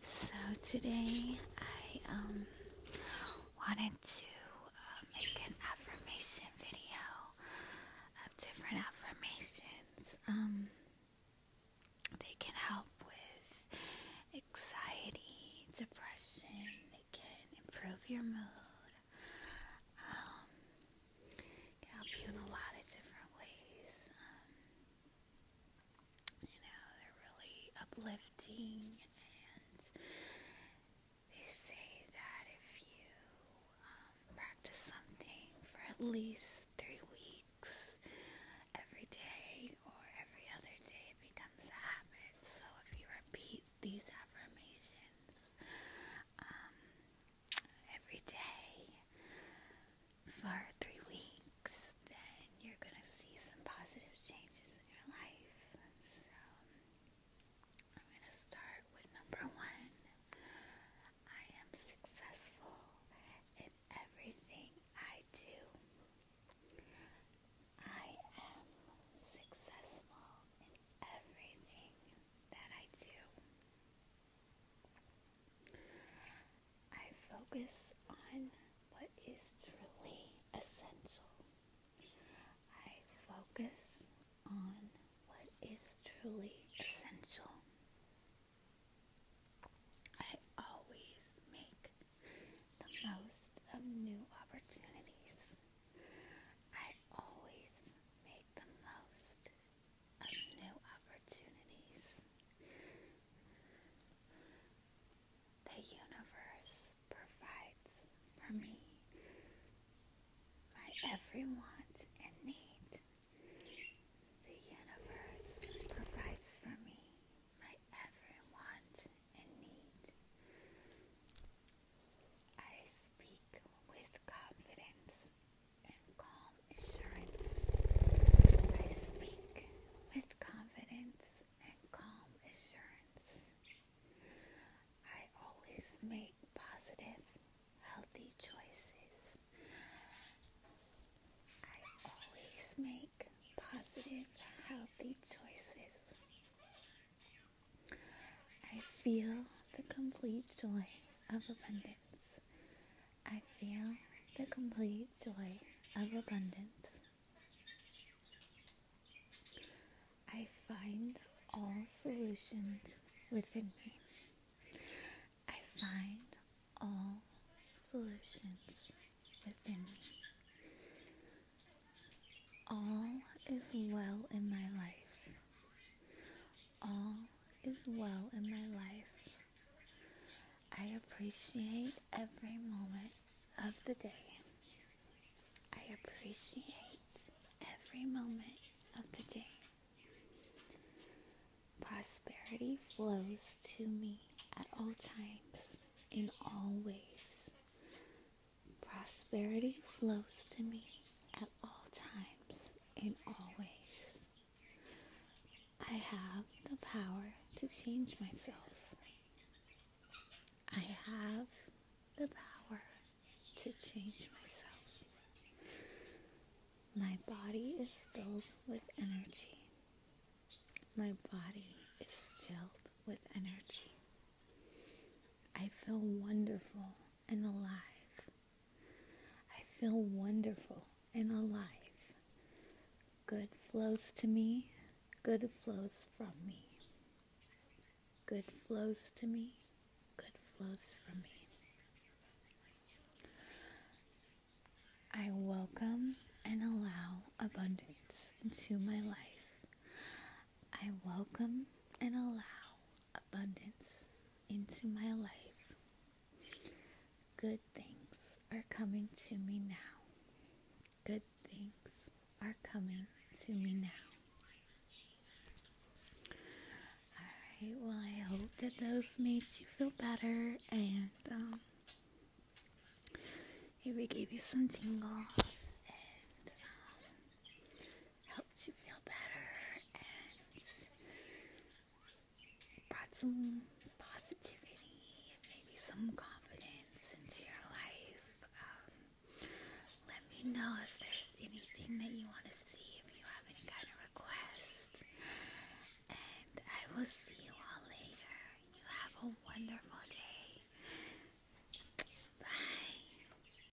So today I um wanted to uh, make an affirmation video of different affirmations. Um they can help with anxiety, depression, they can improve your mood. Um help you in a lot of different ways. Um, you know, they're really uplifting and they say that if you um, practice something for at least three weeks every day or every other day, it becomes a habit. So if you repeat these affirmations um, every day, for three weeks, then you're going to see some positive changes in your life. So, I'm going to start with number one I am successful in everything I do. I am successful in everything that I do. I focus on what is truly essential. I focus on what is truly essential. I always make the most of new opportunities. I always make the most of new opportunities. The universe provides for me my every want and need. The universe provides for me my every want and need. I speak with confidence and calm assurance. I speak with confidence and calm assurance. I always make positive, healthy choices. I always make positive, healthy choices. I feel the complete joy of abundance. I feel the complete joy of abundance. I find all solutions within me. I find all solutions within me. All is well in my life all is well in my life. I appreciate every moment of the day. I appreciate every moment of the day. Prosperity flows to me at all times, in all ways. Prosperity flows to me at all times, in all ways. I have the power to change myself. I have the power to change myself. My body is filled with energy. My body is filled with energy. I feel wonderful and alive. I feel wonderful and alive. Good flows to me. Good flows from me. Good flows to me. Good flows from me. I welcome and allow abundance into my life. I welcome and allow abundance into my life. Good things are coming to me now. Good things are coming to me now. Alright, well, I hope that those made you feel better and um, maybe gave you some tingles. Um, helped you feel better and brought some positivity, and maybe some confidence into your life. Um, let me know if there's anything that you want to see, if you have any kind of request, And I will see you all later. You have a wonderful day. Bye.